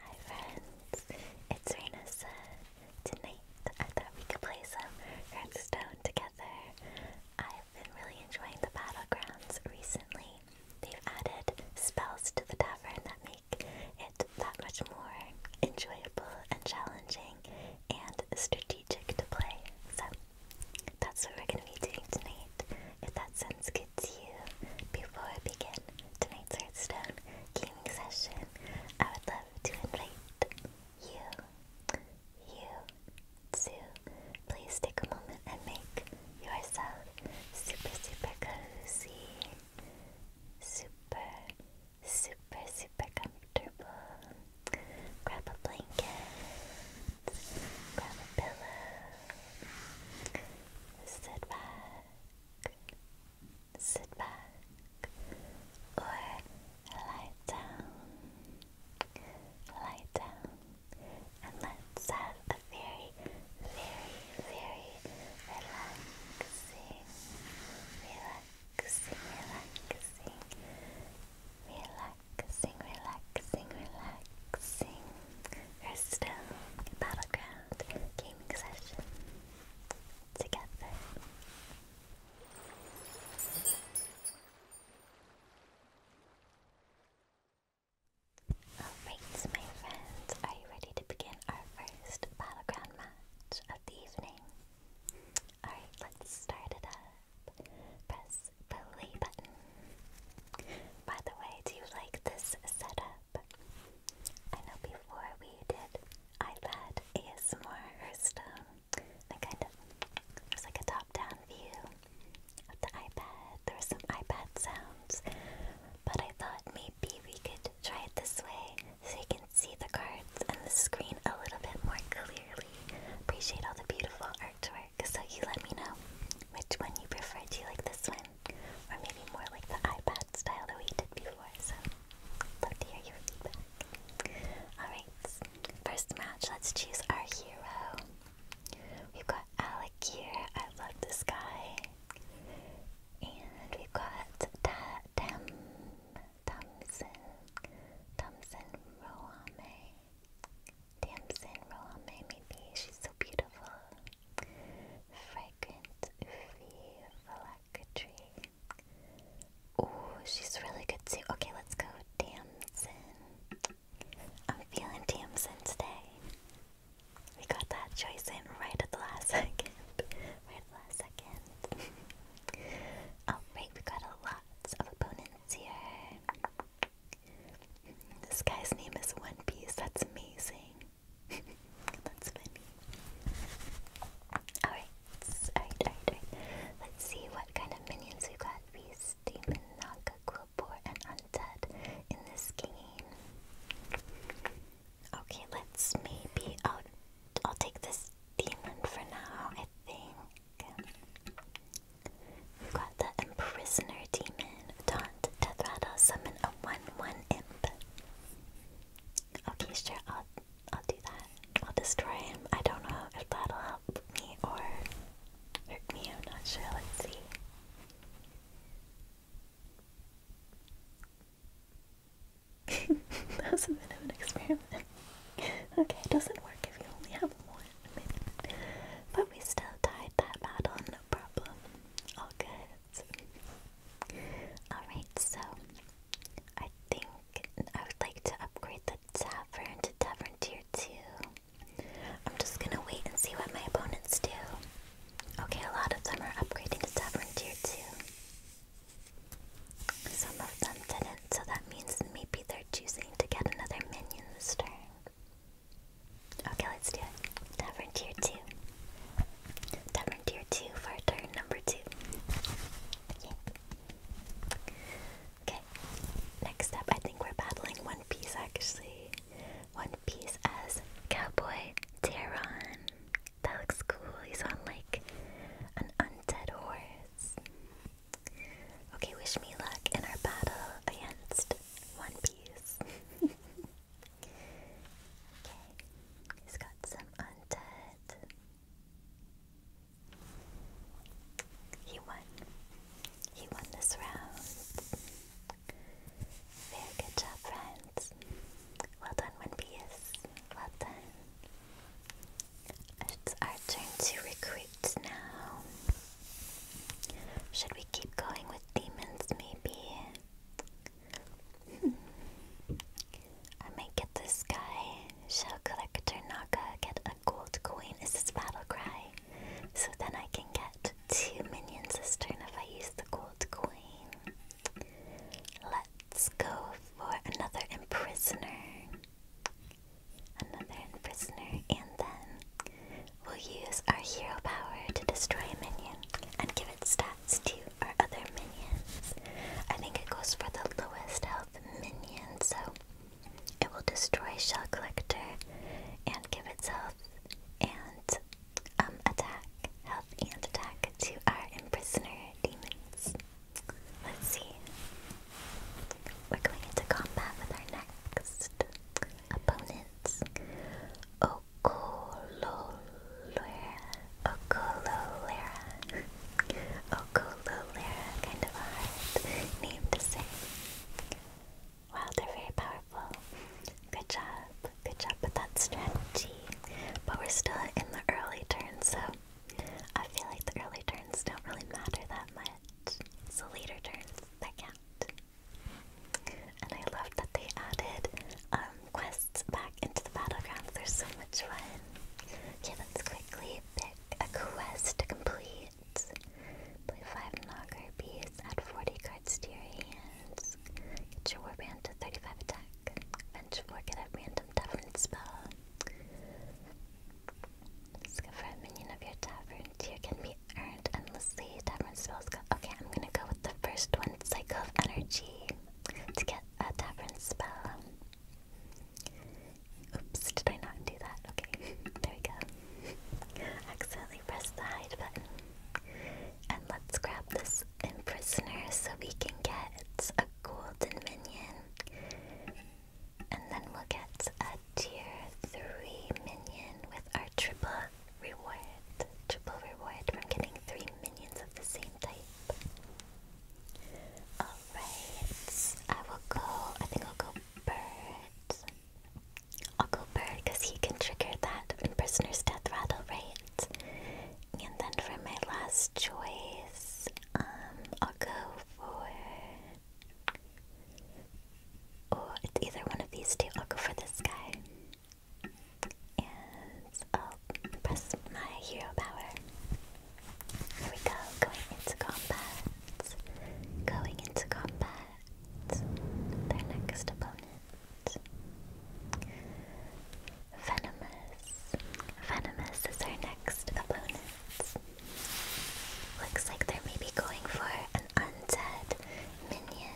Hi friends, it's Renessa. Tonight I thought we could play some Hearthstone together. I've been really enjoying the battlegrounds recently. They've added spells to the tavern that make it that much more enjoyable and challenging and strategic to play. So that's what we're gonna be doing tonight. If that sounds good to you before I begin tonight's Hearthstone gaming session. I would love to invite you, you, to please take a moment and make yourself super, super cozy, super, super, super comfortable. Grab a blanket, grab a pillow, sit back sit back, or lie down. Lie down, and let's have a very, very, very relaxing, relaxing, relaxing, relaxing, relaxing, relaxing. Hearthstone Battleground gaming session together. Alright, my friends, are you ready to begin our first battleground match of the evening? Alright, let's start it up. Press play button. By the way, do you like this setup? I know before we did iPad ASMR Hearthstone, I kind of, it was like a top-down view of the iPad. There were some iPad sounds, but I thought maybe we could try it this way so you can see the cards and the screen a little bit more clearly. Appreciate all the beautiful artwork, so you let me know which one you prefer. Do you like this one? Or maybe more like the iPad style that we did before, so love to hear your feedback. Alright, first match, let's choose our hero. We've got Alec here, I love this guy. And we've got Ta Thompson. Thompson Roame. Damson Roame, maybe. She's so beautiful fragrant Fee Ooh, she's really good too. Okay, let's go Damson. I'm feeling Damson today. We got that choice in right at the last second. Right at the last second. Alright, oh, we got a of opponents here. This guy's name is One Piece, that's amazing. That's funny. Alright, alright, alright, Let's see what kind of minions we got. Beast, Demon, Naga, and Undead in this game. Okay, let's maybe. I'll, I'll take this demon for now, I think. we got the Imprisoner Demon. Taunt, Death Rattle, Summon a 1 1 imp. Okay, sure, I'll I'll do that. I'll destroy him. I don't know if that'll help me or hurt me, I'm not sure. Let's see. that a bit of an experiment. okay, it doesn't work if you only have one. But we still died that battle, no problem. All good. Alright, so I think I would like to upgrade the tavern to tavern tier 2. I'm just gonna wait and see what my opponents do. Okay, a lot of them are upgrading to tavern tier 2. Some of them didn't, so that means maybe they're choosing to get another minion this Okay, let's do it. Tavern tier 2. Tavern tier 2 for turn number 2. Okay. next up, I think we're battling One Piece actually. One Piece as Cowboy Teron. That looks cool. He's on like an undead horse. Okay, wish me luck in our battle against One Piece. Okay, he's got some undead. He won. He won this round. Very good job, friends. Well done, One Well done. It's our turn to recruit now. Should we keep going with demons, maybe? Hmm. I might get this guy. Shell Collector Naga get a gold coin is his battle So then I can get two minions this turn if I use the gold coin. Let's go for another imprisoner. Another imprisoner, and then we'll use our hero power to destroy a minion and give it stats to our other minions. I think it goes for the lowest health minion, so it will destroy Shell Collector and give itself and um, attack, health, and attack to our imprisoner demons. Let's see. We're going into combat with our next opponents. Oh, Ocololera, Ocololera, Ocololera, kind of a hard name to say. Wow, they're very powerful. Good job, good job with that strategy. But we're still in the early turns, so I feel like the early turns don't really matter that much. It's later turns that count. And I love that they added um, quests back into the battlegrounds. they so much fun. Okay, let's quickly pick a quest to complete. Play 5 Nagar beasts, add 40 cards to your hands. Get your warband to 35 attack. Bench 4, get a random tavern spell. Discover a minion of your tavern. Tier can be earned endlessly. Tavern spells Okay, I'm gonna go the first one, Cycle of Energy, to get a different spell. Oops, did I not do that? Okay, there we go. Accidentally pressed the hide button. And let's grab this Imprisoner so we can get a golden minion. And then we'll get a tier 3 minion with our triple reward, triple reward from getting three minions of the same type. Alright, I will go, I think I'll go bird. I'll go bird because he can trigger that imprisoner's death rattle, right? And then for my last choice, um, I'll go for. Oh, it's either one of these two. I'll go for this guy. And I'll press my hero power. Here we go, going into combat. Going into combat. Their next opponent. Venomous. Venomous is our next opponent. Looks like they're maybe going for an undead minion.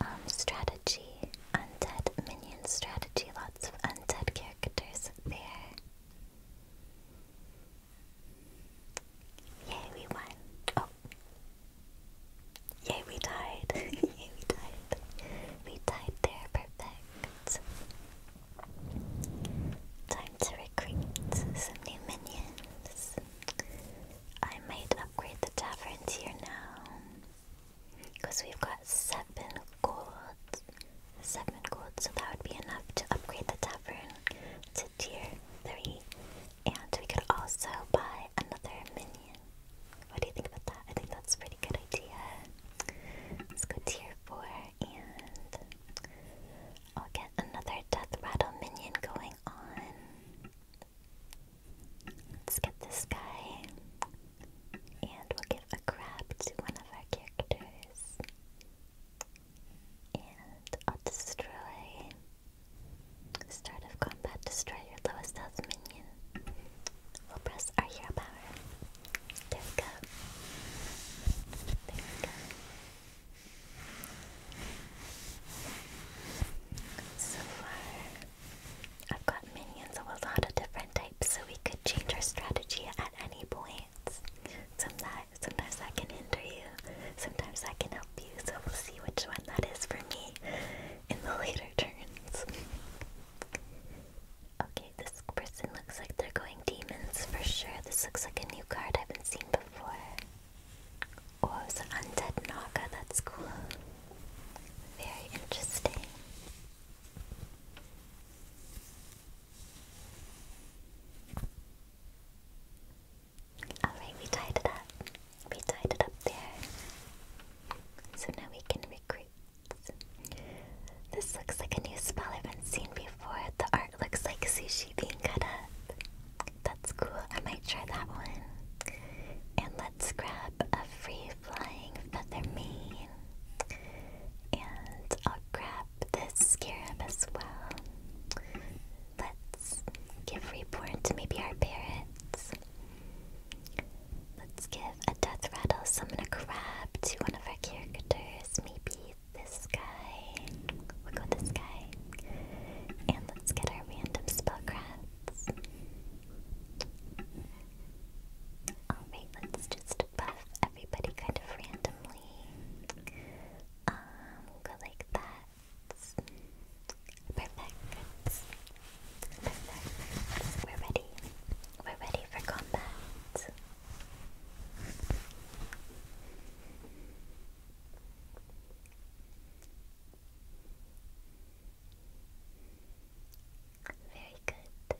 Um, strategy, undead minions. strategy, lots of undead characters there. Yay, we won. Oh. Yay, we died. Yay, we died. We died there, perfect. Time to recruit some new minions. I might upgrade the tavern tier now. Because we've got seven gold. Seven gold, so that would be enough to upgrade the tavern to tier three. And we could also buy another minion. What do you think about that? I think that's a pretty good idea. Let's go tier four and I'll get another death rattle minion going on. Let's get this guy, and we'll give a grab to one of our characters. And I'll destroy. Start of combat, destroy your lowest health minion. We'll press our hero power. There we go. There we go. So far, I've got minions of a lot of different types, so we could change our strategy at any point. Sometimes, sometimes that can hinder you, sometimes that can help you, so we'll see which one that is for me in the later turns. okay, this person looks like they're going demons for sure. This looks like a new card I haven't seen before. Oh, it's an that's cool. Very interesting. Alright, we tied it up. We tied it up there. So now we can recruit. This looks like a new spell I've been seen before. The art looks like sushi being cut up. That's cool. I might try that one. And let's grab a free flying feather mane. And I'll grab this scarab as well. Let's give Reborn to maybe our parents. Let's give a death rattle summon a crab to one of our characters. Maybe this guy. We'll go this guy. And let's get our random spell Alright, let's just buff everybody kind of randomly. Um, we go like that. Perfect. Perfect. We're ready. We're ready for combat. Very good.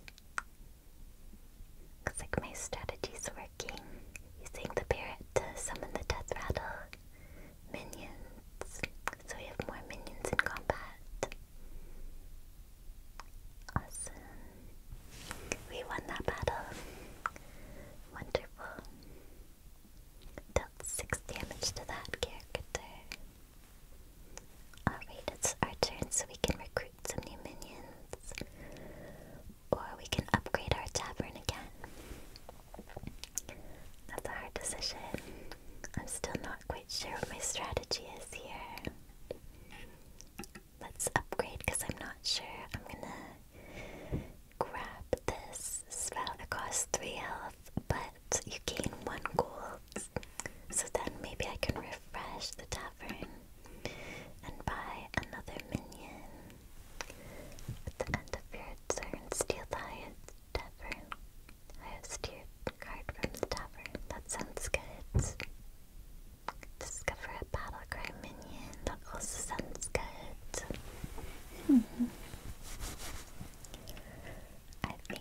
Looks like my strategy's working. Using the parrot to summon the death rattle minions. So we have more minions in combat. Awesome. We won that battle. Wonderful. Dealt 6 damage to that character. Alright, it's our turn so we can recruit some new minions. Or we can upgrade our tavern again. That's a hard decision. I'm still not quite sure what my strategy is here. Let's upgrade because I'm not sure. I'm gonna grab this spell. It costs 3 health but you gain one gold. So then maybe I can refresh the tavern and buy another minion the end of your turn. Steal the highest tavern, highest card from the tavern. That sounds good. Discover a battlecry minion. That also sounds good. Hmm. I think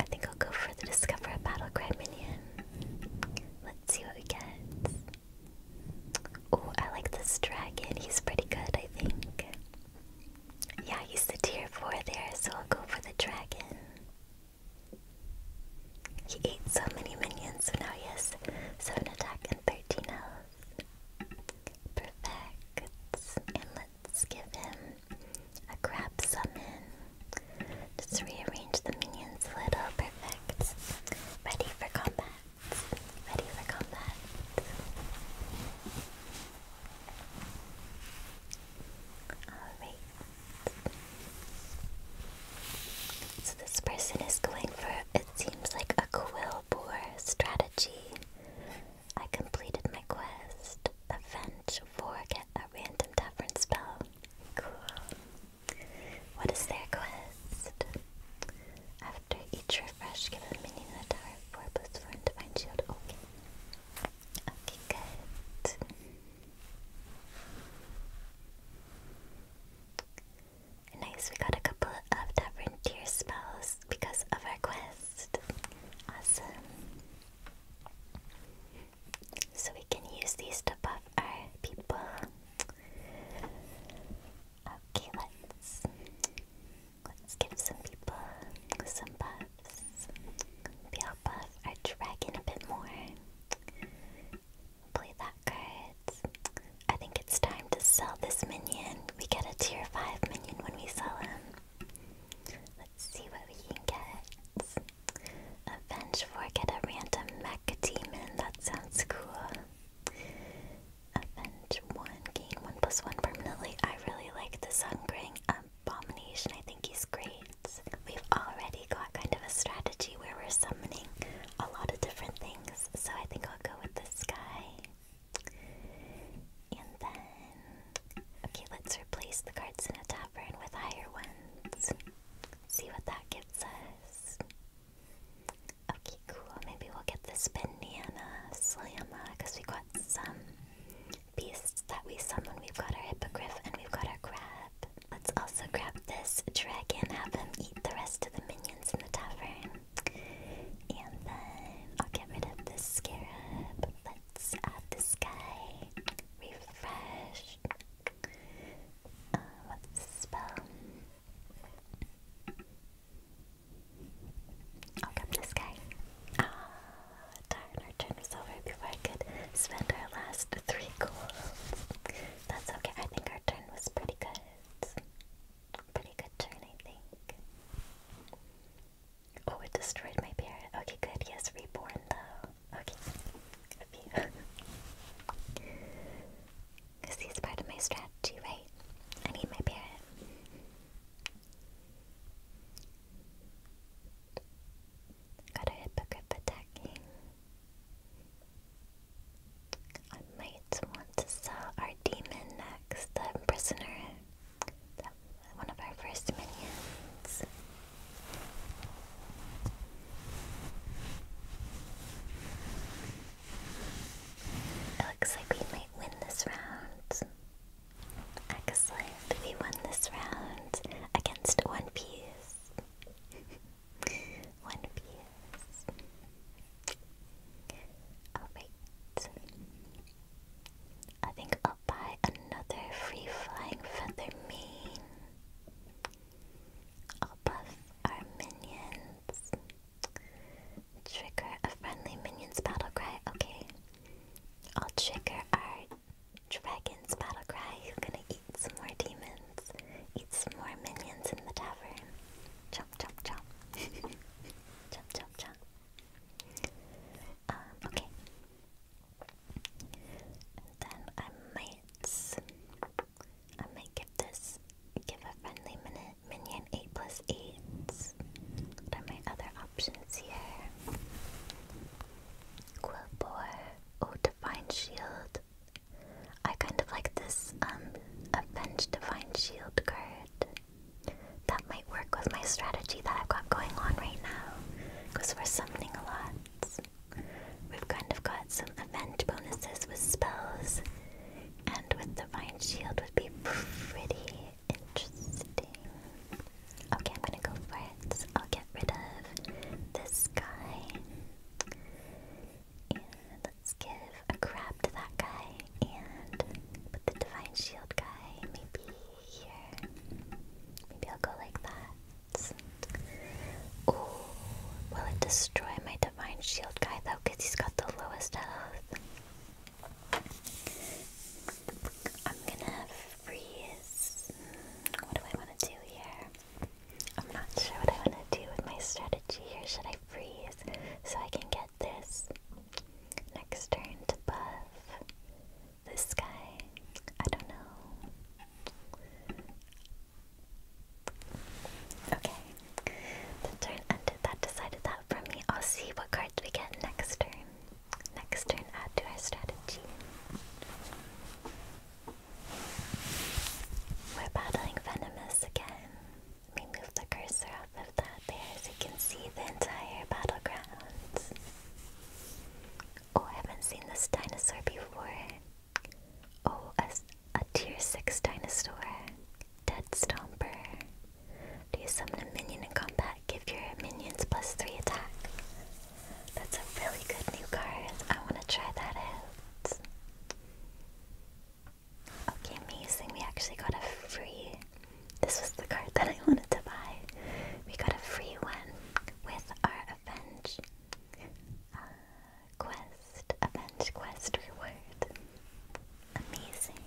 I think I'll go for the Discover a Battlecry minion. Let's see what we get. Oh, I like this dragon. He's pretty good, I think. Yeah, he's the tier 4 there, so I'll go for the dragon. He ate so many minions, so now he has 7 attack and 13 health. Perfect. Let's give him a crab summon. Just rearrange the minions a little. Perfect. Ready for combat. Ready for combat. Alright. So this person is going for, it seems like, a quill strategy. I completed my quest. Avenge 4, get a random tavern spell. Cool. What is their quest? After each refresh, give a minion in the tower 4 plus and divine shield. Okay. Okay, good. Nice, we got a couple of tavern tier spells because of our quest. Awesome. So we can use these to buff our people. Okay, let's let's give some people some buffs. Maybe I'll buff our dragon a bit more. Play that card. I think it's time to sell this minion. We get a tier 5 minion when we sell him see what we can get. A bench for get a random mech demon. That sounds cool. Avenge one, gain one plus one permanently. I really like the Sungring Abomination. I think he's great. We've already got kind of a strategy where we're summoning a lot of different things, so I think I'll go with this guy. And then, okay, let's replace the cards in a tavern with higher ones. See what that gives us. Okay, cool. Maybe we'll get this banana slamma because we got some beasts that we summon. We've got our hippogriff and we've got our crab. Let's also grab this dragon, have him eat the rest of the minions in the tavern. And then I'll get rid of this scarab of the sky refreshed. Uh, what's the spell? I'll up this guy. Ah, darn, our turn was over before I could spend our last three goals. That's okay, I think our turn was pretty good. Pretty good turn, I think. Oh, it destroyed my parrot. Okay, good. Yes, reborn though. Okay. Because he's part of my strategy, right? I need my parrot. Got a hippogriff attacking. I might want to sell our demon next, prisoner that one of our first minions. It looks like we might win this round. Excellent. We won this round against One Piece. One Piece. Alright. I think I'll buy another free flying feather mane. I'll buff our minions. Trigger a friendly minion's battle cry. Okay. I'll trigger our dragon's battle cry. gonna eat some more demons. Eat some more minions in the tavern. Chomp, chomp, chomp. chomp, chomp, chomp. Um, okay. then I might I might give this give a friendly minute minion eight plus eight. What are my other options here? Quillbore. Oh Divine Shield. I kind of like this um Avenge Divine Shield card. That might work with my strategy that I've got going on right now, because we're summoning a lot. We've kind of got some event bonuses with spells, and with the Divine Shield would be pretty interesting. Okay, I'm gonna go for it. I'll get rid of this guy. And let's give a crap to that guy and put the divine shield guy maybe here. Maybe I'll go like that. Ooh, will it destroy my divine shield guy he's got the lowest health. I'm gonna freeze. What do I want to do here? I'm not sure what I want to do with my strategy here. Should I freeze so I can get this next turn to buff? This guy, I don't know. Okay, the turn ended. That decided that for me. I'll see what cards we get next turn. Next turn, add to our strategy. We're battling Venomous again. We move the cursor off of that there so you can see the entire battleground. Oh, I haven't seen this dinosaur before. Oh, a, a tier 6 dinosaur. Dead Stomper. Do you summon a minion in combat? Give your minions plus 3 attack. That's a really good new card. I want to try that out. Okay, amazing. We actually got a free this was the card that I wanted to buy. We got a free one with our Avenge uh, Quest, Avenge Quest reward. Amazing.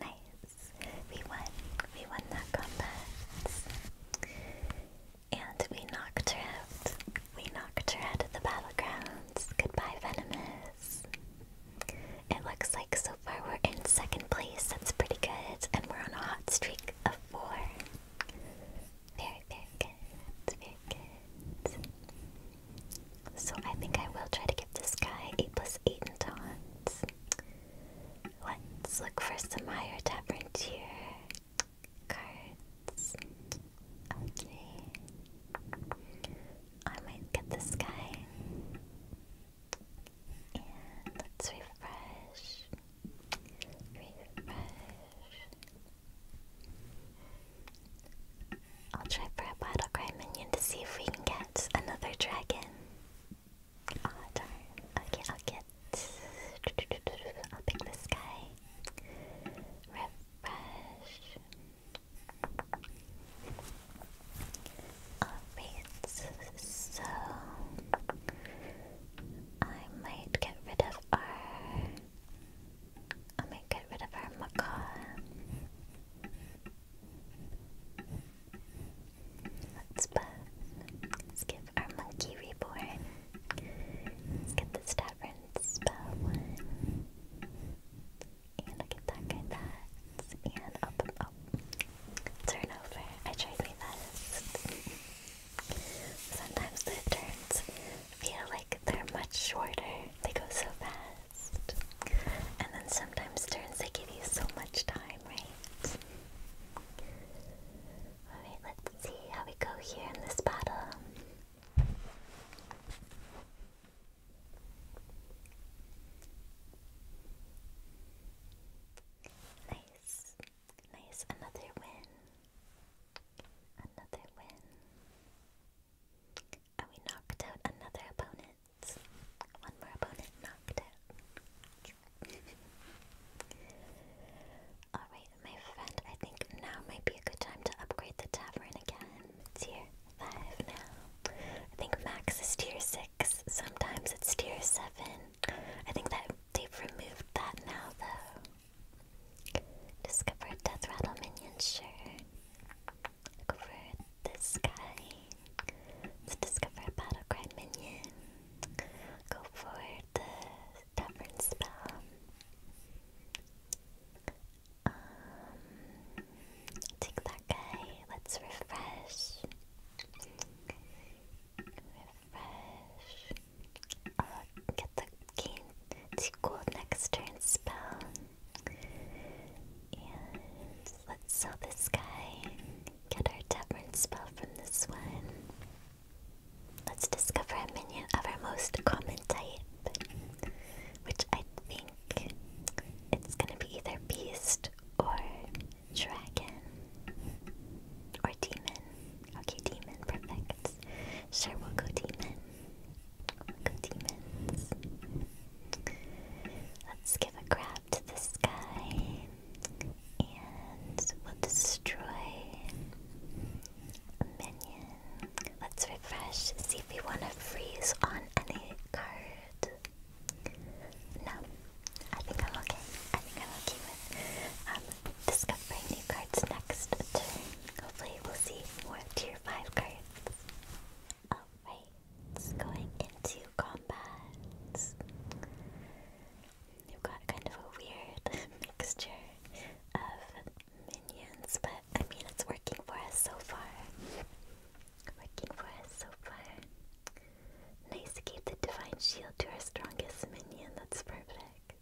Nice. We won. We won that combat. And we knocked her out. We knocked her out of the battlegrounds. Goodbye, Venomous. It looks like so far we're in second place. That's pretty good. And we're on a hot streak of four. Very, very good. Very good. So I think I will try to give this guy 8 plus 8 in taunts. Let's look for some higher tavern tier cards. Okay. I might get this guy. let's refresh. Refresh. I'll try for a battle cry minion to see if we can get another dragon. Aw, ah, darn. Okay, I'll get. I'll pick this guy. Refresh. Alright, so I might get rid of our I might get rid of our macaw. Let's buff. Let's give our monkey reborn. get this tavern spell one. And I get that, good that. And up, up. Oh, turn over. I tried my best. Sometimes the turns feel like they're much shorter. They go so fast. And then sometimes turns, they give you so much time, right? Alright, let's see how we go here in this battle. Nice, nice, another win. Another win. And we knocked out another opponent. One more opponent knocked out. Alright, my friend, I think now might be a good time to upgrade the tavern again. It's here five now. I think max is tier six. Sometimes it's tier seven. I think that they've removed that now though. Discover Death Rattle Minion, sure. Look over this guy. discover a Battlecry Minion. Go for the Tavern Spell. Um, take that guy. Let's refresh. Refresh. I'll get the gain to gold next turn spell. And let's sell this guy. Get our tavern spell from this one. Let's discover a minion of our most common type, which I think it's gonna be either beast or dragon or demon. Okay, demon, perfect. Sure, we'll go demon. We'll go demons. Let's give a grab to this guy and we'll destroy minion. Let's refresh, see if we want to freeze on any card. No, I think I'm okay. I think I'm okay with um, discovering new cards next turn. Hopefully we'll see more tier 5 cards. Alright, it's going into combat. We've got kind of a weird mixture of minions, but I mean it's working for us so far working for us so far. Nice to keep the divine shield to our strongest minion. That's perfect.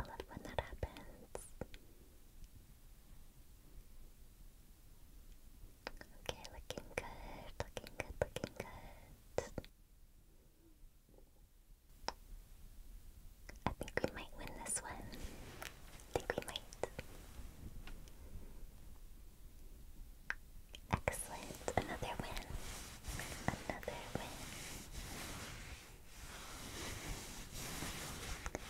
I love when that happens. Okay, looking good, looking good, looking good. I think we might win this one. I think we might. Excellent. Another win. Another win.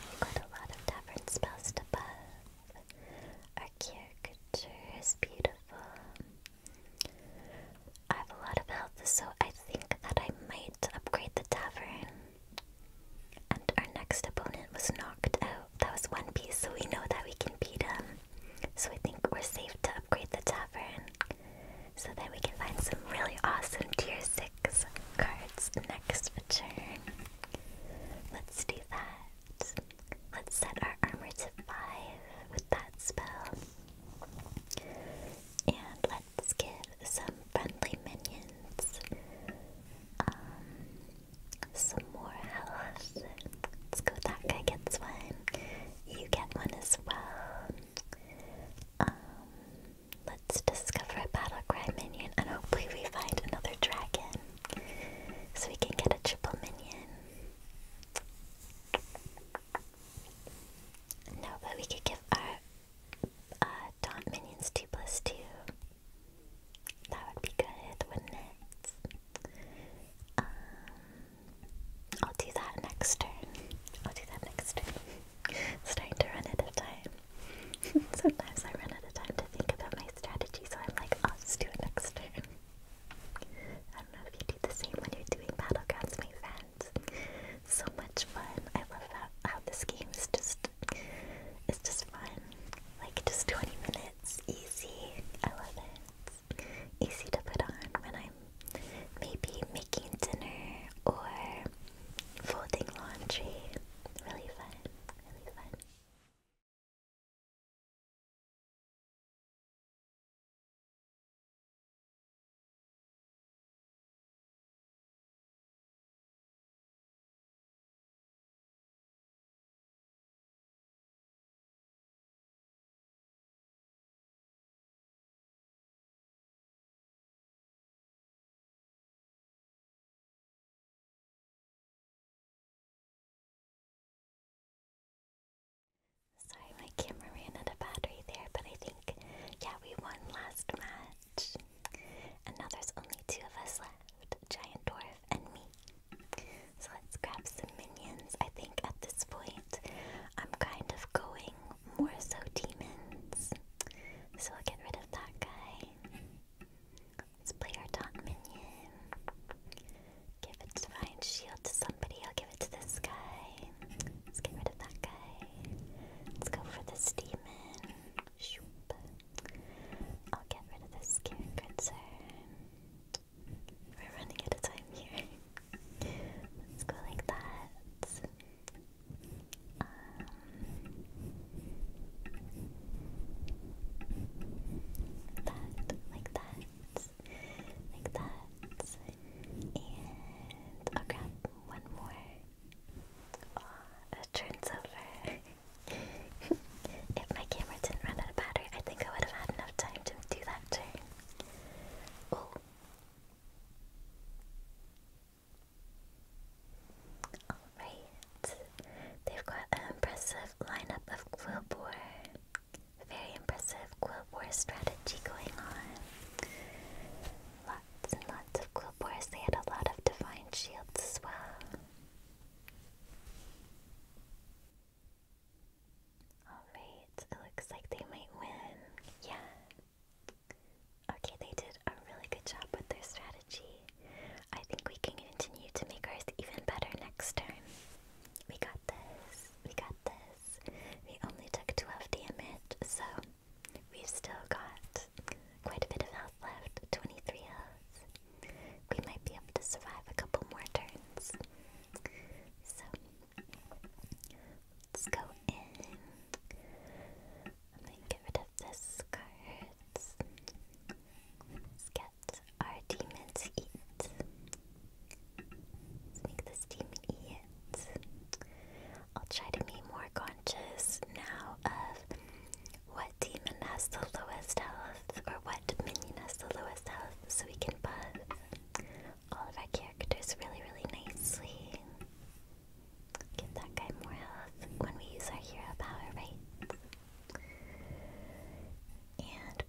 we got a lot of tavern spells to buff. Our caricature is beautiful. I have a lot of health, so I think that I might upgrade the tavern. And our next opponent was knocked out. That was one piece, so we know that we can beat him. So I think we're safe to upgrade the tavern. So then we can find some really awesome tier 6 cards next turn. Let's do that. Let's set our armor to 5 with that spell. And let's get some friendly minions, um, some more health. Let's go, that guy gets one. You get one as well. Um, let's discover a battle minion and hopefully we find another dragon so we can get a triple minion. No, but we could give our uh, taunt minions 2 plus 2. That would be good, wouldn't it? Um, I'll do that next turn. I'll do that next turn. Starting to run out of time. Sometimes I run out of time to think about my strategy, so I'm like, I'll do it next turn. I don't know if you do the same when you're doing Battlegrounds, my friends. So much fun. I love how, how this game is just it's just fun. Like just 20 minutes, easy. I love it. Easy to put on when I'm maybe making dinner or folding laundry. Really fun. Really fun. Sorry, my camera ran out of battery there, but I think, yeah, we won last match. And now there's only two of us left Giant Dwarf and me. So let's grab some minions. I think at this point I'm kind of going more so demons. So we will get rid of that guy. Let's play our top minion. Give a giant shield to somebody. I'll give it to this guy. Let's get rid of that guy. Let's go for this demon. Shoop. I'll get rid of this Karen We're running out of time here. Let's go like that. Um, that, like that, like that, and I'll grab one more Oh, it turns over. if my camera didn't run out of battery, I think I would have had enough time to do that turn. Oh. Alright. They've got an impressive lineup of Quillbore. Very impressive Quillbore strategy going on lots of Clubwars. They had a lot of divine shields as well. Alright, it looks like they might win. Yeah. Okay, they did a really good job with their strategy. I think we can continue to make ours even better next turn. We got this. We got this. We only took 12 damage, so We've still got quite a bit of health left 23 health. We might be able to survive a couple more turns. So, let's go in. I'm get rid of this cards. Let's get our demon eat. Let's make this demon eat. I'll try to be more conscious now of what demon has the lowest health or what minion has the lowest health so we can buff all of our characters really, really nicely. Give that guy more health when we use our hero power, right? And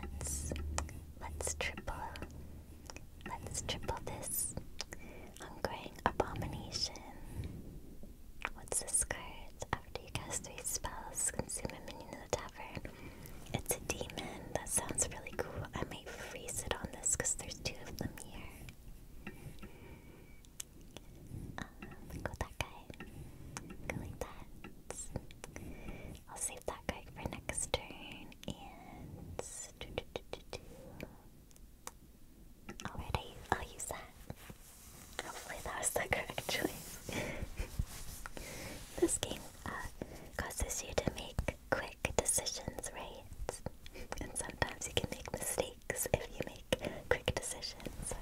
let's let's triple, let's triple this. I'm Ongoing Abomination. What's this card? After you cast three spells, consume a minion in the tavern. It's a demon. That sounds really cool. I might freeze it on this because there's two of them here. Um, go that guy. Go like that. I'll save that card for next turn and Alright, I, will use that. Hopefully that was the correct choice. this game uh, causes you to make quick decisions, right? And sometimes you can make mistakes if you make quick decisions.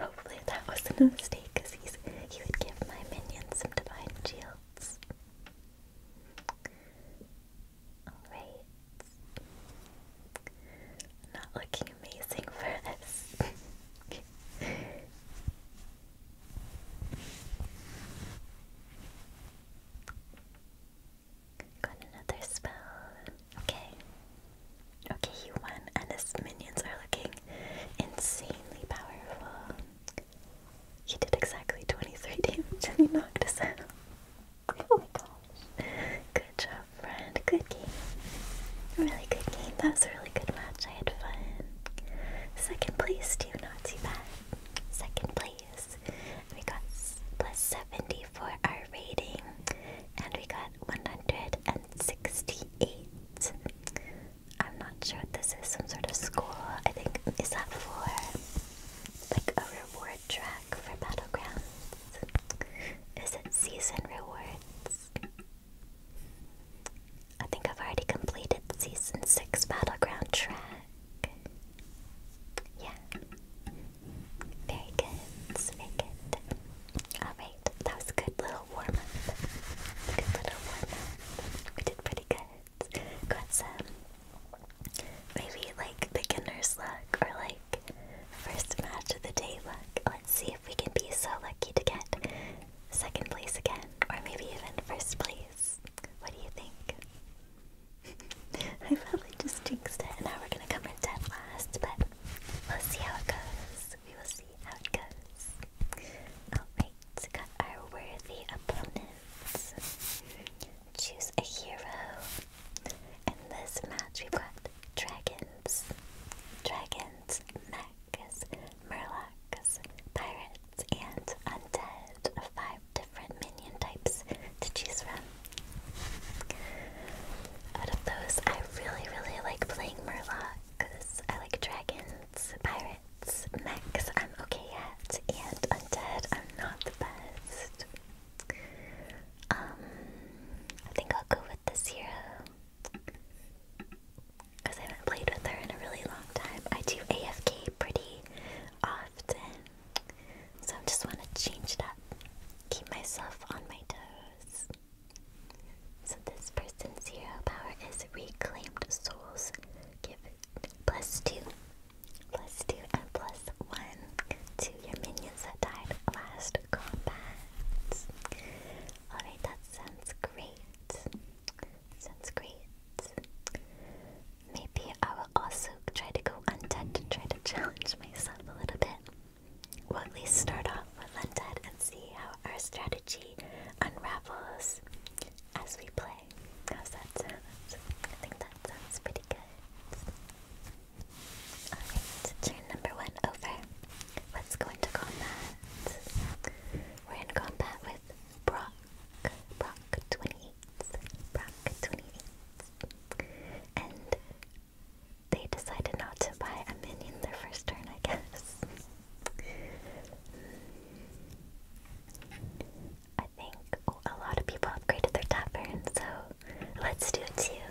Hopefully that wasn't a mistake because he would give my minions some divine shields. Not looking amazing for this. Got another spell. Okay. Okay, you won, and his minions are looking insanely powerful. He did exactly 23 damage and you knocked us out. Oh my gosh. Good job, friend. Good game. Really good game. That was a really good match. I had fun. Second place, too. Not too bad. Second place. we got plus 70 for our rating. And we got 168. I'm not sure what this is. Some sort of score. I think, is that for like a reward track for Battlegrounds? Is it Season Rewards? I think I've already completed Season 6 Battleground track. Yeah. Very good. Very good. Alright, that was a good little warm up. Good little warm up. We did pretty good. Got some Maybe like beginner's luck or like first match of the day luck. Let's see if we can be so lucky to get second place again or maybe even first place. What do you think? I probably just jinxed it and now we're gonna come in dead last, but we'll see how it goes. We will see how it goes. Alright, got our worthy opponents choose a hero. and this match, we've got dragons, dragons, mechs, murlocs, pirates, and undead. Five different minion types to choose from. Out of those, I really, really like playing murlocs. I like dragons, pirates, mechs, I'm okay at, and undead, I'm not the best. Um, I think I'll go with this because I haven't played with her in a really long time. I do AFK pretty often, so I just want to change it up, keep myself on my toes. So this person's zero power is reclaimed souls. Give plus two Let's Plus two and plus one to your minions that died last combat. Alright, that sounds great. Sounds great. Maybe I will also try to go undead and try to challenge myself a little bit. We'll at least start off with undead and see how our strategy unravels as we play. How's that sound? I think that sounds pretty good. Alright, turn number one over. Let's go into combat. We're in combat with Brock. Brock 28. Brock 28. And they decided not to buy a minion their first turn, I guess. I think a lot of people upgraded their tavern, so let's do it too.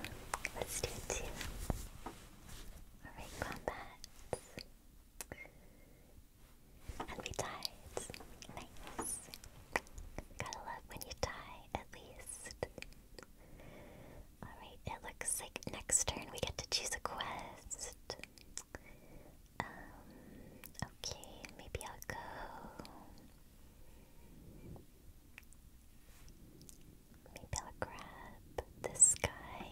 Let's do it too. Alright, combat. And we died. Nice. Gotta love when you die, at least. Alright, it looks like next turn we get to choose a quest. Um, okay, maybe I'll go. Maybe I'll grab this guy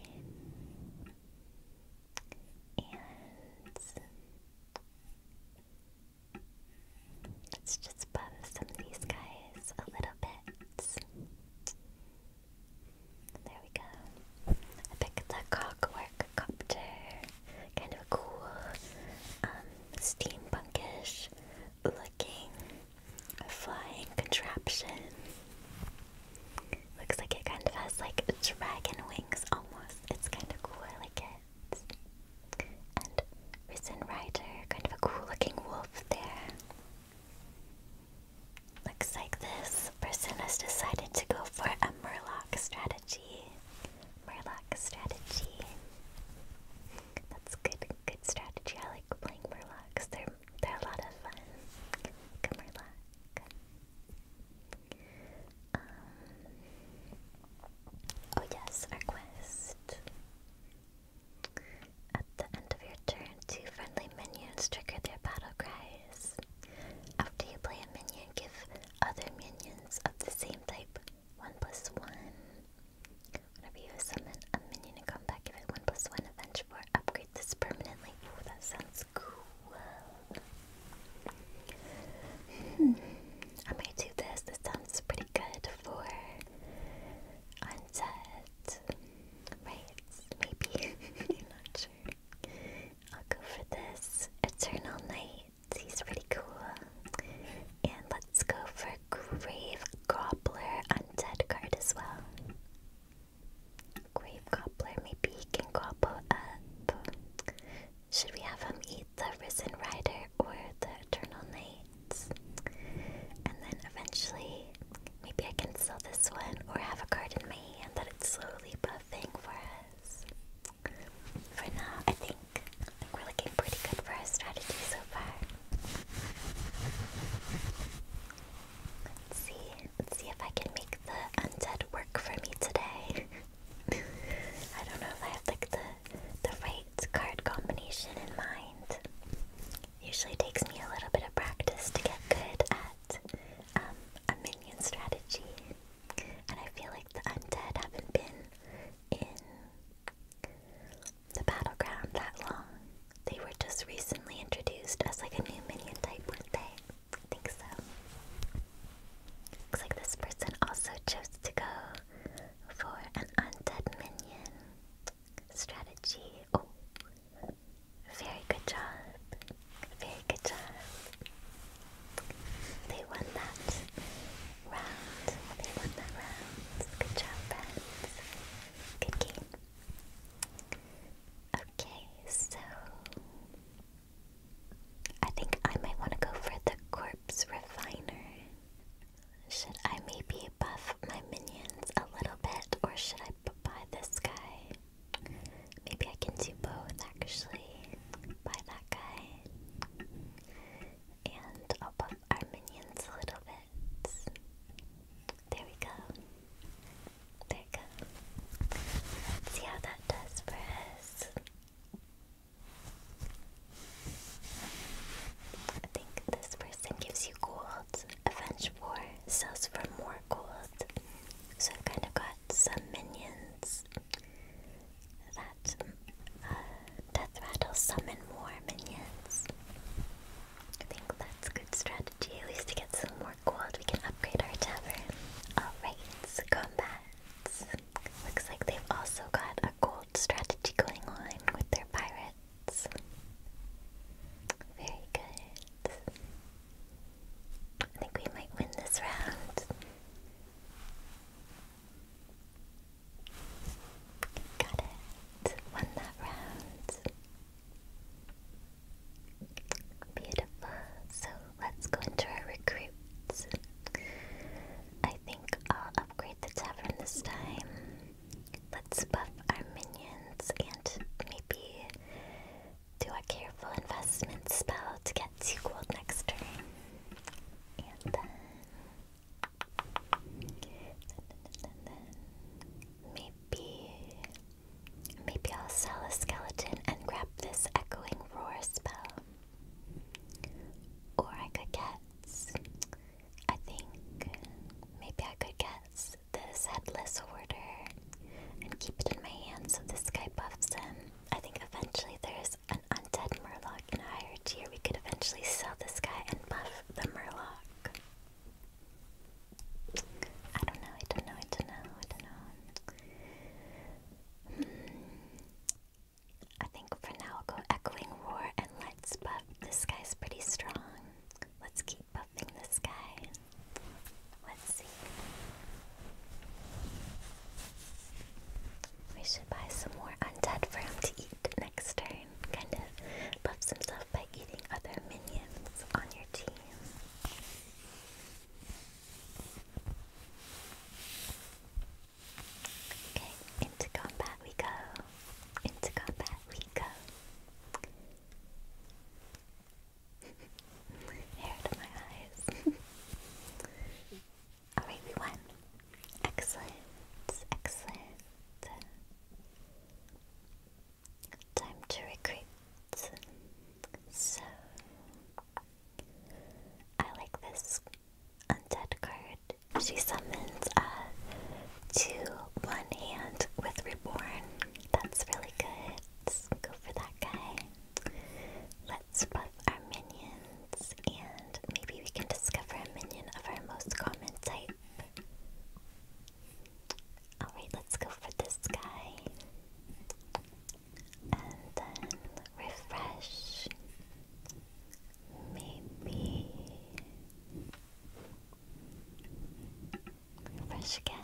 and let's just buff some of these guys a little bit. There we go. I picked the cockwork copter. Kind of cool um, steampunkish looking flying contraption. Looks like it kind of has like dragon wings almost. It's kind of cool, I like it. And Risen Rider, kind of a cool looking wolf there. Looks like this person has decided to go for a Murloc strategy. Murloc strategy. That's good, good strategy. I like playing Murlocs. They're they're a lot of fun. Like a um, Oh yes, our quest. At the end of your turn, two friendly minions trigger their battle cries. After you play a minion, give other minions of the same type 1 plus 1. Whenever you summon a minion to come back, give it 1 plus 1 adventure or upgrade this permanently. that sounds cool. Hmm. I might do this. This sounds pretty good for unset. Right? Maybe. not sure. I'll go for this Eternal Night. He's pretty cool. And let's go for Grave Gobbler Undead card as well. Grave Gobbler, maybe he can gobble up. Should we have him eat the Risen Rider or the Eternal Knights? And then eventually, maybe I can sell this one or have a card in my hand that it's slowly buffing for us for now, I think, I think we're looking pretty good for our strategy so far. Let's see. Let's see if I can make the undead work for me today. I don't know if I have like the the right card combination in mind. Usually takes me a little bit of practice to get good at um, a minion strategy, and I feel like the undead haven't been in the battleground that long. They were just recently introduced as like a new minion type, weren't they? I think so. Looks like this person also chose to go for an undead minion strategy. Oh, very good job. Very good job. They won that round. They won that round. Good job, friends. Good game. Okay, so I think I might want to go for the corpse refiner. Should I maybe buff my minions a little bit, or should I buy this guy? Maybe I can do both actually. Buy that guy and I'll buff our minions a little bit. There we go. There we go. see how that does for us. I think this person gives you gold. Avenge War sells for more gold. So i kind of got some minions that uh, Death Rattle summon more minions. I think that's a good strategy, at least to get some more gold. We can upgrade our tavern. Alright, so combats. Looks like they've also got a gold strategy going on with their pirates. Very good. I think we might win this round. Got it. Won that round. Beautiful. So let's go into our recruits. I think I'll upgrade the tavern this time. Let's buff our minions and maybe do a careful investment spell to get two next turn. And then maybe maybe I'll sell a skeleton and grab this echoing roar spell. Or I could get I think maybe I could get this headless order and keep it in my hand so this guy buffs him. I think eventually there's there's an undead murloc in higher tier, we could eventually sell this guy and buff the murloc. I don't know, I don't know, I don't know, I don't know. Hmm. I think for now I'll go Echoing Roar and let's buff. This guy's pretty strong. Let's keep buffing this guy. Let's see. We should buy some more undead for him to eat next turn. Kind of buffs himself by eating other minions on your team. Okay, into combat we go. Into combat we go. Hair to my eyes. Alright, we won. Excellent, excellent. Time to recruit. So, I like this undead card. She summons a 2 1 hand with Reborn. That's really good. Go for that guy. Let's buff our minions and maybe we can discover a minion of our most common type. Alright, let's go for this guy. And then refresh. Maybe. Refresh again.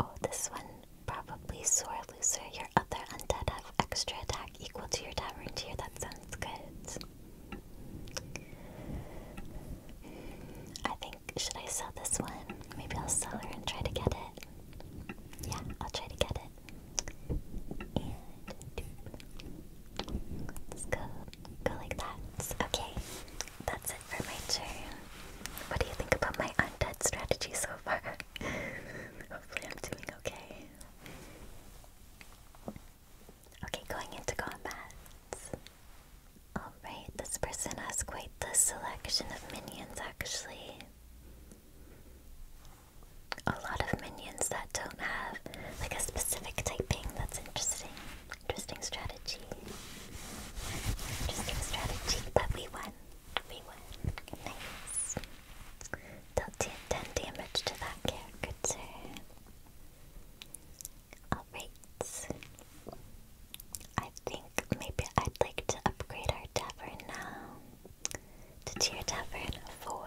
Oh, this one probably sore loser. Your other undead extra attack equal to your tavern tier. That sounds good. I think, should I sell this one? Maybe I'll sell her and try to get it. Yeah, I'll try to get it. let's go. Go like that. Okay, that's it for my turn. What do you think about my undead strategy so far? Hopefully, I'm doing okay. Okay, going into combat. Alright, this person has quite the selection of minions actually. A lot of minions that don't have like a specific typing. That's interesting. Interesting strategy. Interesting strategy, but we won. We won. Nice. Deal 10 damage to that character. Alright. I think maybe I'd like to upgrade our tavern now. To tier tavern 4.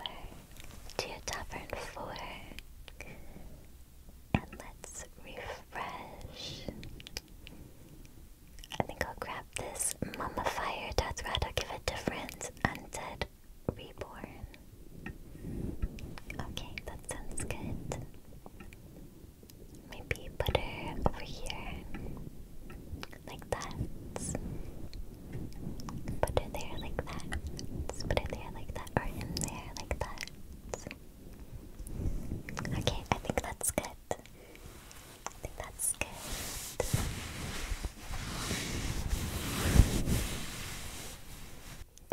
Tier tavern 4. And let's refresh. I think I'll grab this mummifier death I'll give it to friends. undead Reborn. Okay, that sounds good. Maybe put her over here. Like that. Put her there like that. Put her there like that. Or in there like that. Okay, I think that's good. I think that's good.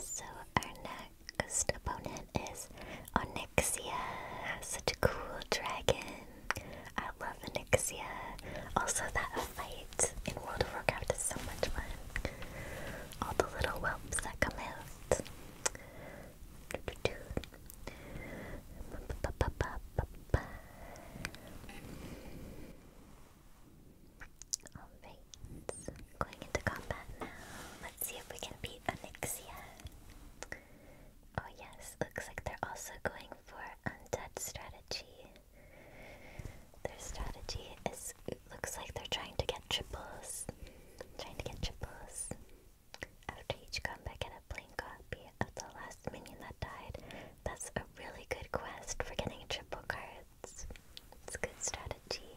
So our next opponent is Onyxia. Such a cool dragon. I love Onyxia. Also that fight in World of Warcraft is so much fun. All the little whelps that come out. Alright, going into combat now. Let's see if we can beat Onyxia. Oh yes, looks like they're also going for undead strategy. Their strategy is it looks like they're trying to get triples. Trying to get triples. After each combat, get a plain copy of the last minion that died. That's a really good quest for getting triple cards. It's good strategy.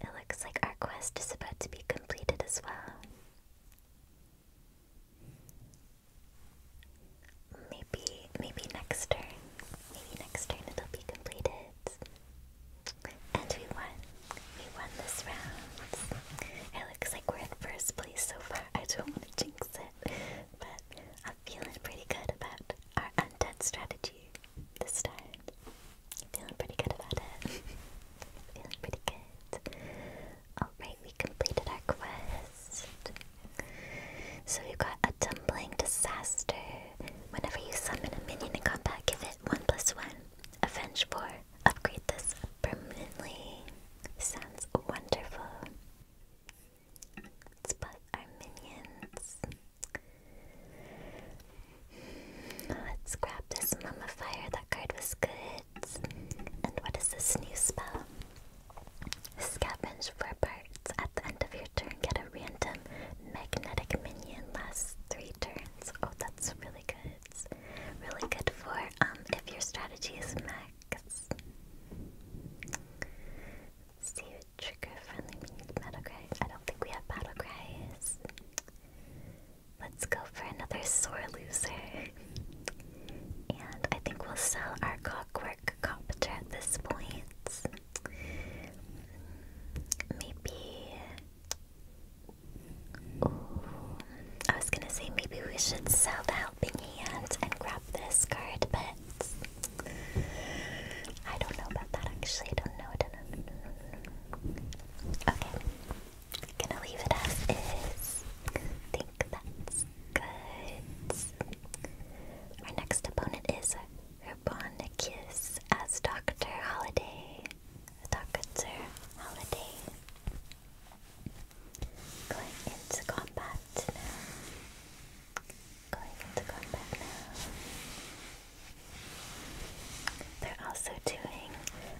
It looks like our quest is about to be completed as well. Maybe, maybe next turn. Maybe next turn it'll be completed. And we won. We won this round. It looks like we're in first place so far. I don't want to jinx it. But I'm feeling pretty good about our undead strategy this time. Feeling pretty good about it. feeling pretty good. Alright, we completed our quest. So we got a tumbling disaster. Whenever you summon a minion in combat, give it 1 plus 1. Avenge 4. Upgrade this permanently. Sounds wonderful. Let's put our minions. Let's grab this mummifier. That card was good. And what is this new spell? Scavenge for parts. At the end of your turn, get a random magnetic minion. Last three turns. Oh, that's really good. Really good for um if your strategy is max. See you trigger friendly we I don't think we have battlecries. Let's go for another sore loser. And I think we'll sell our clockwork copter at this point. Maybe Ooh. I was gonna say maybe we should sell the helping hand and grab this card, but I don't know about that actually. I don't know. Okay. Gonna leave it as is. Think that's good. Our next opponent is Herbonicus as Dr. Holiday. Dr. Holiday. Going into combat now. Going into combat now. They're also doing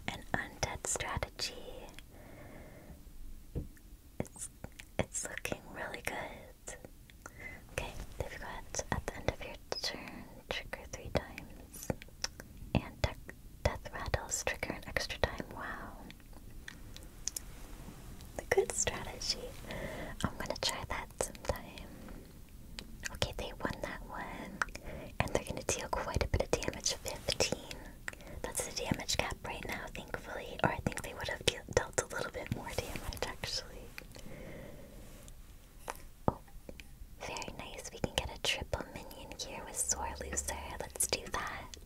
an undead strategy. It's it's looking really good. Okay, they've got at the end of your turn, trigger three times. And death rattles trigger an extra time. Wow. The good strategy. I'm gonna try that sometime. Okay, they won that one. And they're gonna deal quite a bit of damage 15. That's the damage cap right now, thankfully. Or I think they would have dealt a little bit more damage, actually. Oh, very nice. We can get a triple minion here with Sore Loser. Let's do that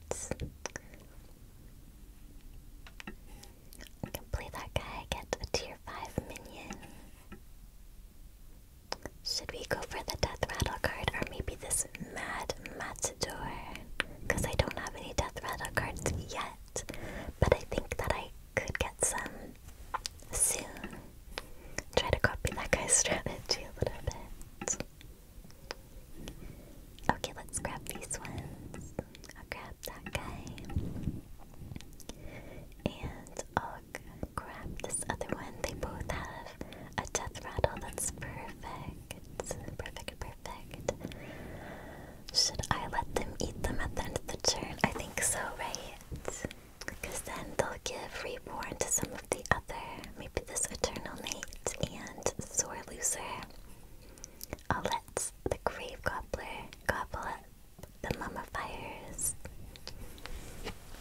play that guy, get a tier 5 minion. Should we go for the death rattle card or maybe this mad matador? Because I don't have any death rattle cards yet, but I think that I could get some soon. Try to copy that guy's strategy a little bit. Okay, let's grab these ones. I'll grab that guy. And I'll grab this other one. They both have a death rattle. That's perfect. Perfect, perfect. Should I let them eat them at the end of the turn? I think so, right? Because then they'll give Reborn to some of the other. Maybe this Eternal Nate and Sore Loser. Owlets, the Grave Gobbler, Gobble the Mummifiers.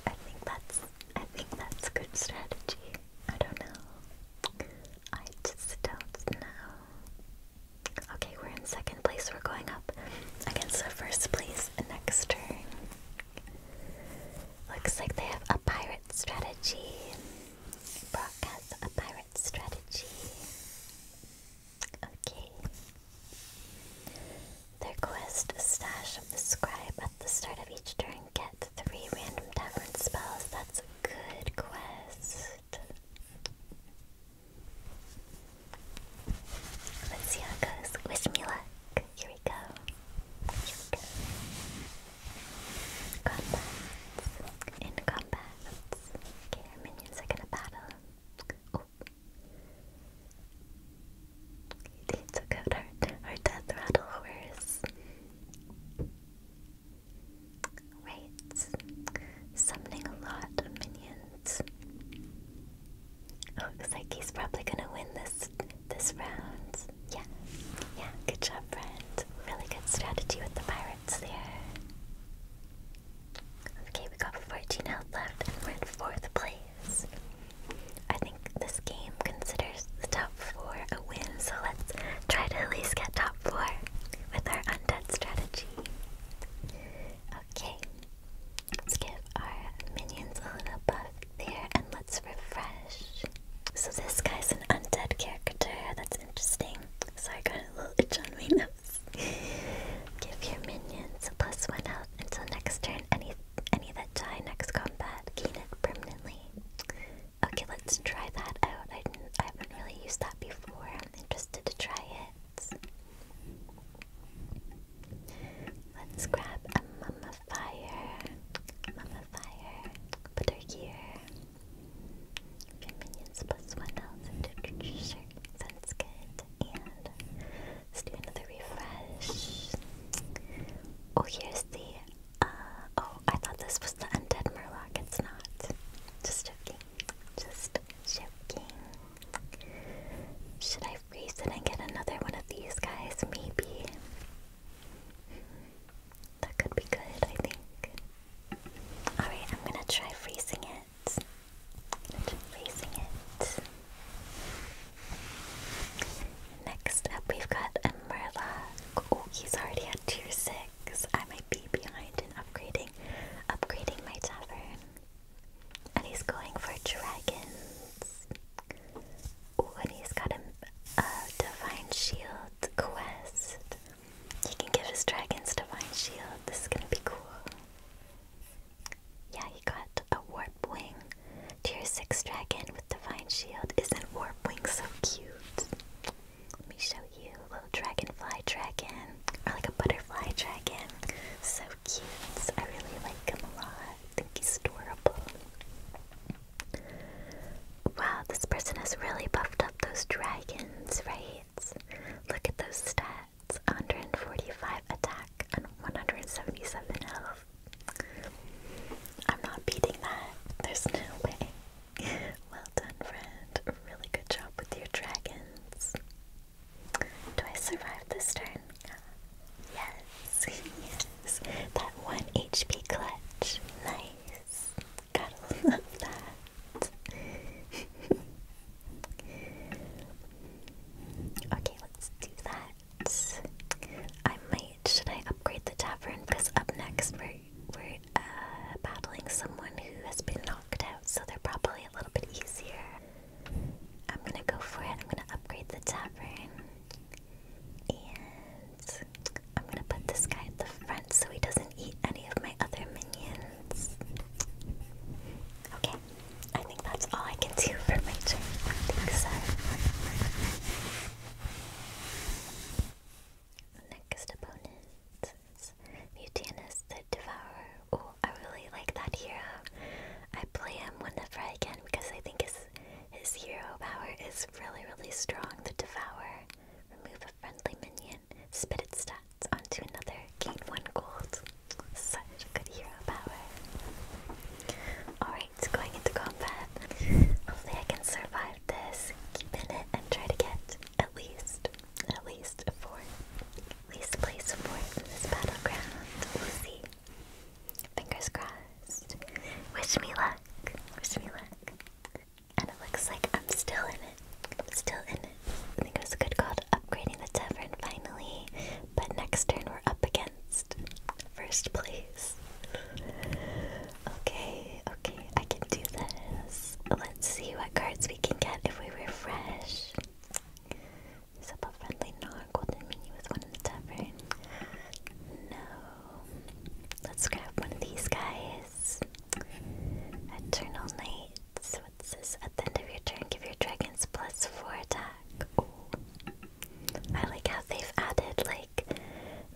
I think that's I think that's good strategy. I don't know. I just don't know. Okay, we're in second place. We're going up against the first place next turn. Looks like they have a pirate strategy. Brock a pirate strategy. Okay. Their quest stash of the scribe at the start of each turn. Get three random tavern spells. That's a good quest. Let's see how it goes. Wish me luck. Here we go. Here we go. Combat. In Okay, minions are gonna battle. Oh. They took out our, our death rattle horse. Right. Summoning a lot of minions. Oh, looks like he's probably gonna win this this round. Yeah. Yeah, good job, friend. Really good strategy with the pirates there. Okay, we got 14 health left and we're in fourth place. I think this game considers the top four a win, so let's try to at least get top four with our undead strategy. Okay, let's give our minions a little buff there and let's refresh. So, this guy's an undead character, that's interesting. So I got a little itch on my nose. Give your minions a plus one out until next turn. Any any that die next combat gain it permanently. Okay, let's try that out. I, didn't, I haven't really used that before. I'm interested to try it. Let's grab a mummifier. Mummifier. Put her here minions plus one health and literature. Sounds good. And let's do another refresh. Oh, here's the. Uh, oh, I thought this was the undead murloc. It's not. Just joking. Just joking. Should I freeze it and get another one of these guys? Maybe. That could be good, I think. Alright, I'm gonna try freezing it. freezing it. Next up, we've got a Oh, he's already at tier 6. I might be behind in upgrading, upgrading my tavern. And he's going for dragons. Oh, and he's got a, a divine shield quest. He can give his dragons divine shield. This is gonna be cool. Yeah, he got a warp wing. Tier 6 dragon with divine shield. Isn't warp wing so cute? Let me show you. A little dragonfly dragon. Or like a butterfly dragon. So cute. I really like him a lot. think he's adorable. Wow, this person has really buffed up those dragons, right? Look at those stats 145 attack and 177 health. I'm not beating that. There's no way. Well done, friend. Really good job with your dragons. Do I survive this turn? Yes, yes. That one HP clutch. Nice. Gotta love that. okay, let's do that. I might. Should I upgrade the tavern? Because up next we're we're uh, battling someone who has been knocked out, so they're probably a little bit easier. I'm gonna go for it. I'm gonna upgrade the tavern, and I'm gonna put this guy at the front so he doesn't eat any of my other minions. Okay, I think that's all I can do for my turn. I think so. Next opponent is the Devourer. Oh, I really like that hero. I play him whenever I can because I think his his hero power is really really strong. The Devourer. Remove a friendly minion, spit its stats onto another, gain one gold. Such good hero power. Alright, going into combat. Hopefully I can survive this, keep it, and try to get at least, at least four. At least place four in this battleground. We'll see. Fingers crossed. Wish me luck. Wish me luck. And it looks like I'm still in it. still in it. I think it was a good call to upgrading the tavern finally. But next turn we're up against first place. Okay, okay, I can do this. Let's see what cards we can get if we refresh. Is up a friendly nor golden menu with one in the tavern? No. Let's grab one of these guys. Eternal Night. What's, what's this? At the end of your turn, give your dragons plus four attack. I like how they've added like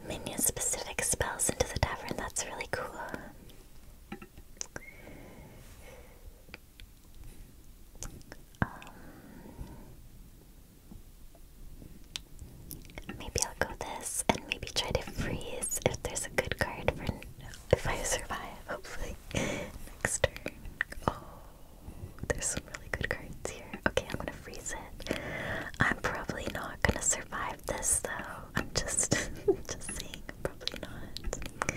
minion specific spells into the tavern. That's really cool. Um, maybe I'll go this and maybe try to freeze if there's a good card for if I survive, hopefully, next turn. Oh, there's some really good cards here. Okay, I'm gonna freeze it. I'm probably not gonna survive this though. I'm just, just saying, probably not. I'm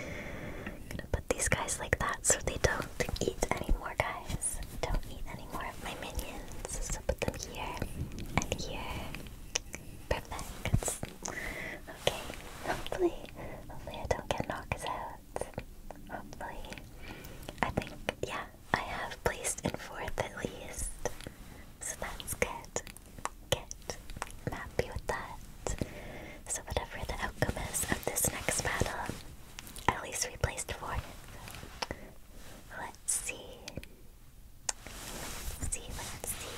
gonna put these guys like that so they don't eat anymore, guys. Don't eat any more of my minions. So put them here and here. Perfect. Okay, hopefully, hopefully I don't get knocked out. Hopefully. I think, yeah, I have placed in fourth at least. So that's good. Good. I'm happy with that. So whatever the outcome is of this next battle, at least we placed fourth. Let's see see, let's see.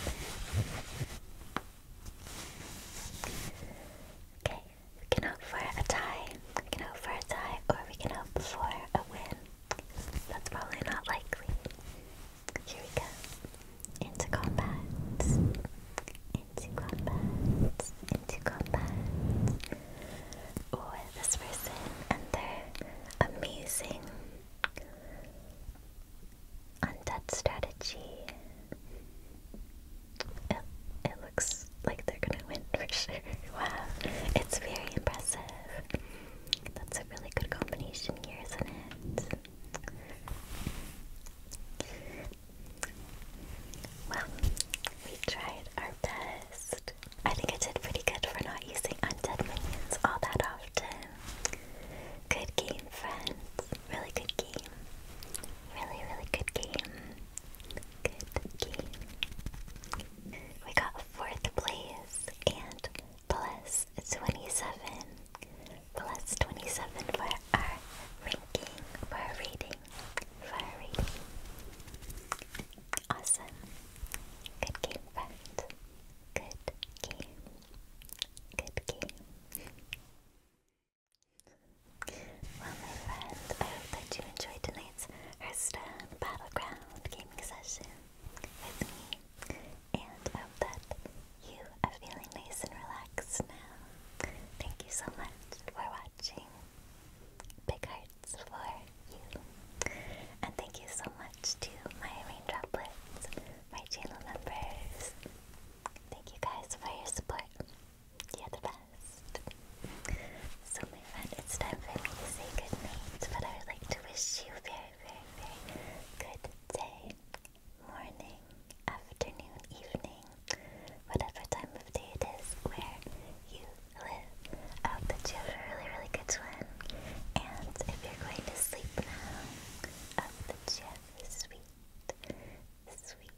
Okay, we can hope for a tie. We can hope for a tie, or we can hope for a win. That's probably not likely. Here we go. Into combat. Into combat. Into combat. Or this person and their amazing Undead strategy. It, it looks like they're gonna win for sure. Wow, it's very impressive. That's a really good combination here, isn't it? Well, we tried our best. I think I did pretty good for not using undead minions all that often. Good game, friends. Really good game. Really, really good game. Good game. We got fourth place and plus 27. Plus 27 for our ranking, for our rating, for reading. Awesome. Good game, friends. Good game. Good game. Well, my friend, I hope that you enjoyed tonight's Hearthstone Battleground gaming session with me, and I hope that you are feeling nice and relaxed now. Thank you so much for watching. Big hearts for you. And thank you so much to my raindroplets my channel members. Thank you guys for your support. You're the best. So my friend, it's time for me to say good but I would like to wish you very, very, very good day, morning, afternoon, evening, whatever time of day it is where you live. I hope that you have a really, really good one. And if you're going to sleep now, up that you have sweet, sweet,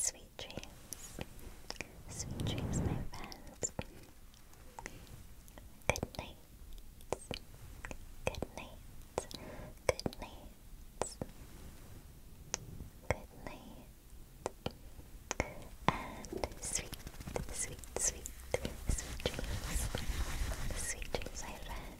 sweet dreams. Sweet dreams, my friends. Good night. Good night. Good night. Good night. And sweet, sweet, sweet, sweet dreams. Sweet dreams, my friends